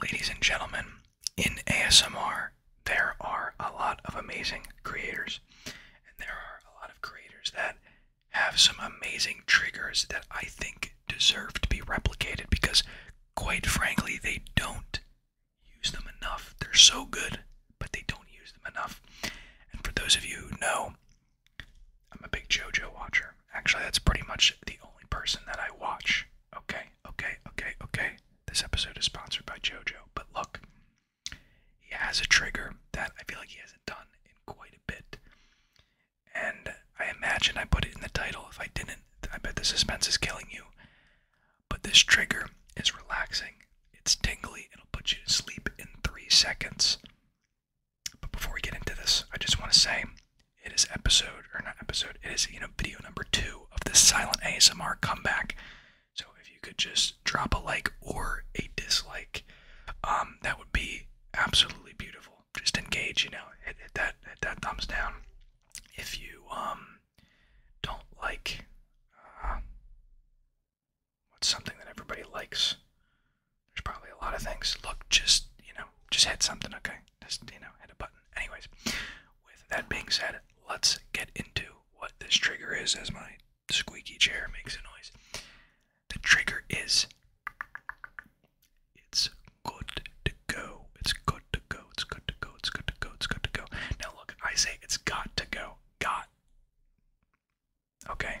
Ladies and gentlemen, in ASMR, there are a lot of amazing creators, and there are a lot of creators that have some amazing triggers that I think deserve to be replicated because, quite frankly, they don't use them enough. They're so good, but they don't use them enough. And for those of you who know, I'm a big JoJo watcher. Actually, that's pretty much the only person that I watch. Okay, okay, okay, okay. This episode is sponsored by JoJo, but look, he has a trigger that I feel like he hasn't done in quite a bit. And I imagine I put it in the title. If I didn't, I bet the suspense is killing you. But this trigger is relaxing, it's tingly, it'll put you to sleep in three seconds. But before we get into this, I just want to say it is episode, or not episode, it is, you know, video number two of the silent ASMR comeback. So if you could just drop a like or a dislike, um, that would be absolutely beautiful. Just engage, you know, hit, that that thumbs down. If you um don't like uh, what's something that everybody likes. There's probably a lot of things. Look, just, you know, just hit something, okay? Just, you know, hit a button. Anyways, with that being said, let's get into what this trigger is as my squeaky chair makes a noise. The trigger is it's good to go. It's good to go. It's good to go. It's good to go. It's good to go. Now look, I say it's got to go. Got. Okay.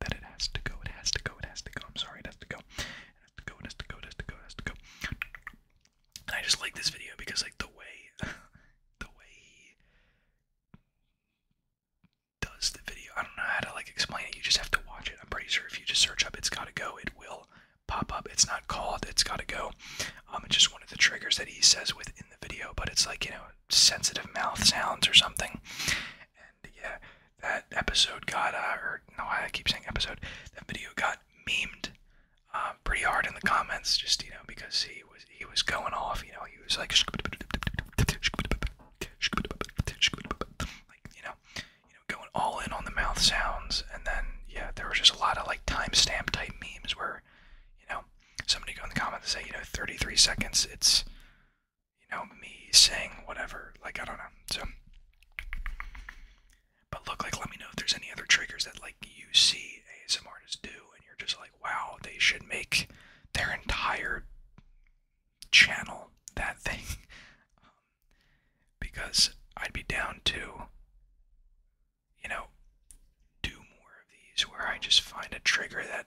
that it has to go. It has to go. It has to go. I'm sorry, it has to go. It has to go. It has to go. It has to go. has to go. And I just like this video because, like, the way, the way he does the video, I don't know how to like explain it. You just have to watch it. I'm pretty sure if you just search up, it's gotta go. It will pop up. It's not called. It's gotta go. Um, it's just one of the triggers that he says within the video, but it's like you know sensitive mouth sounds or something. And yeah, that episode got, uh, or no, I keep saying episode, that video got memed um, pretty hard in the comments, just you know, because he was he was going off, you know, he was like, you know, you know, going all in on the mouth sounds, and then yeah, there was just a lot of like timestamp type memes where, you know, somebody go in the comments and say, you know, 33 seconds, it's you know, me saying whatever. Like, I don't know. So, but look, like, let me know if there's any other triggers that, like, you see ASM artists do and you're just like, wow, they should make their entire channel that thing. Um, because I'd be down to, you know, do more of these where I just find a trigger that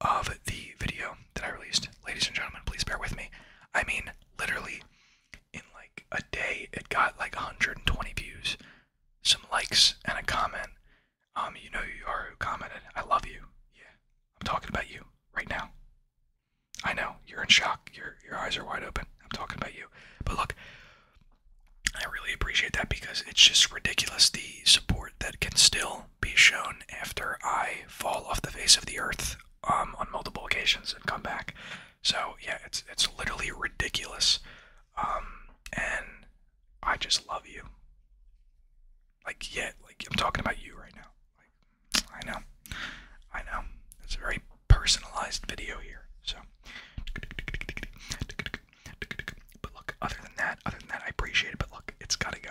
of the video that I released. Ladies and gentlemen, please bear with me. I mean, literally, in like a day, it got like 120 views, some likes, and a comment. Um, you know you are commented. I love you. Yeah, I'm talking about you right now. I know you're in shock. Your your eyes are wide open. I'm talking about you. But look, I really appreciate that because it's just ridiculous the support that can still be shown after I fall off the face of the earth um, on multiple occasions and come back. So yeah, it's it's literally ridiculous, um, and I just love you. Like yeah, like I'm talking about you right now. I know, I know. It's a very personalized video here. So, but look, other than that, other than that, I appreciate it. But look, it's gotta go.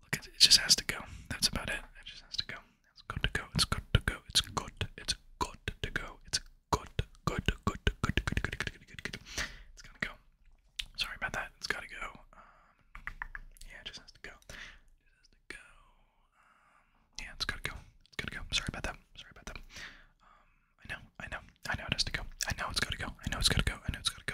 Look, it, it just has to go. That's about it. It just has to go. It's good to go. It's good to go. It's good. It's good to go. It's good. Good. Good. Good. Good. Good. Good. Good. Good. Good. It's gotta go. Sorry about that. It's gotta go. Um, yeah, it just has to go. It has to go. Um, yeah, it's gotta go. It's gotta go. Sorry about that. Sorry about that. Um, I know. I know. I know it has to go. I know it's gotta go. I know it's gotta go. I know it's gotta go.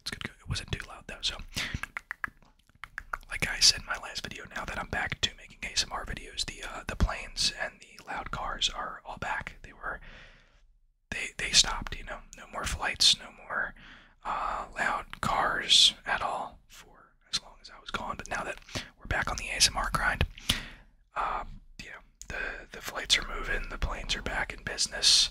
it's good It wasn't too loud though, so like I said in my last video, now that I'm back to making ASMR videos, the uh, the planes and the loud cars are all back. They were they they stopped, you know. No more flights, no more uh, loud cars at all for as long as I was gone. But now that we're back on the ASMR grind, uh, you know, the the flights are moving, the planes are back in business.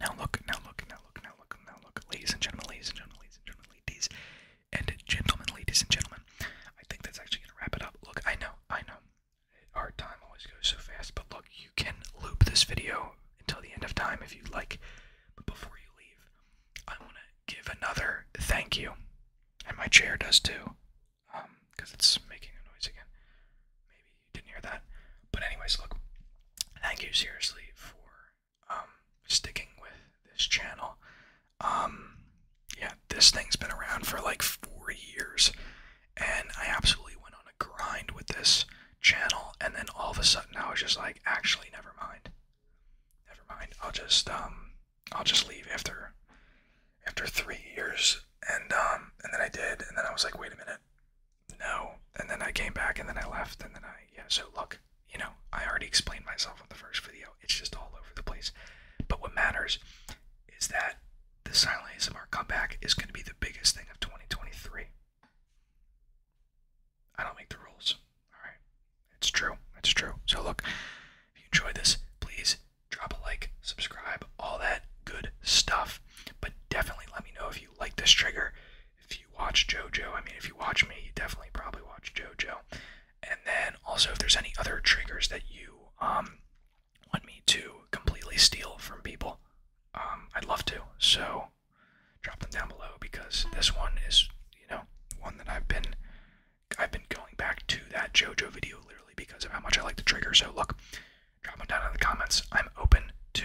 Now look, now look, now look, now look, now look, ladies and gentlemen, ladies and gentlemen, ladies and gentlemen, ladies and gentlemen, ladies and gentlemen. I think that's actually gonna wrap it up. Look, I know, I know, our time always goes so fast, but look, you can loop this video until the end of time if you like. But before you leave, I wanna give another thank you, and my chair does too, um, because it's making a noise again. Maybe you didn't hear that, but anyways, look, thank you seriously for um, sticking with this channel. Um, yeah, this thing's been around for like four years, and I absolutely went on a grind with this channel, and then all of a sudden I was just like, actually, never mind, never mind. I'll just um, I'll just leave after after three years, and and then I did, and then I was like, wait a minute, no. And then I came back and then I left and then I, yeah, so look, you know, I already explained myself in the first video. It's just all over the place. But what matters is that the silent ASMR comeback is going to be the biggest thing of 2023. I don't make the rules. All right. It's true. It's true. So look, if you enjoy this, please drop a like, subscribe, all that good stuff. But definitely let me know if you like this trigger if you watch JoJo, I mean, if you watch me, you definitely probably watch JoJo. And then also, if there's any other triggers that you um, want me to completely steal from people, um, I'd love to. So drop them down below because this one is, you know, one that I've been, I've been going back to that JoJo video literally because of how much I like the trigger. So look, drop them down in the comments. I'm open to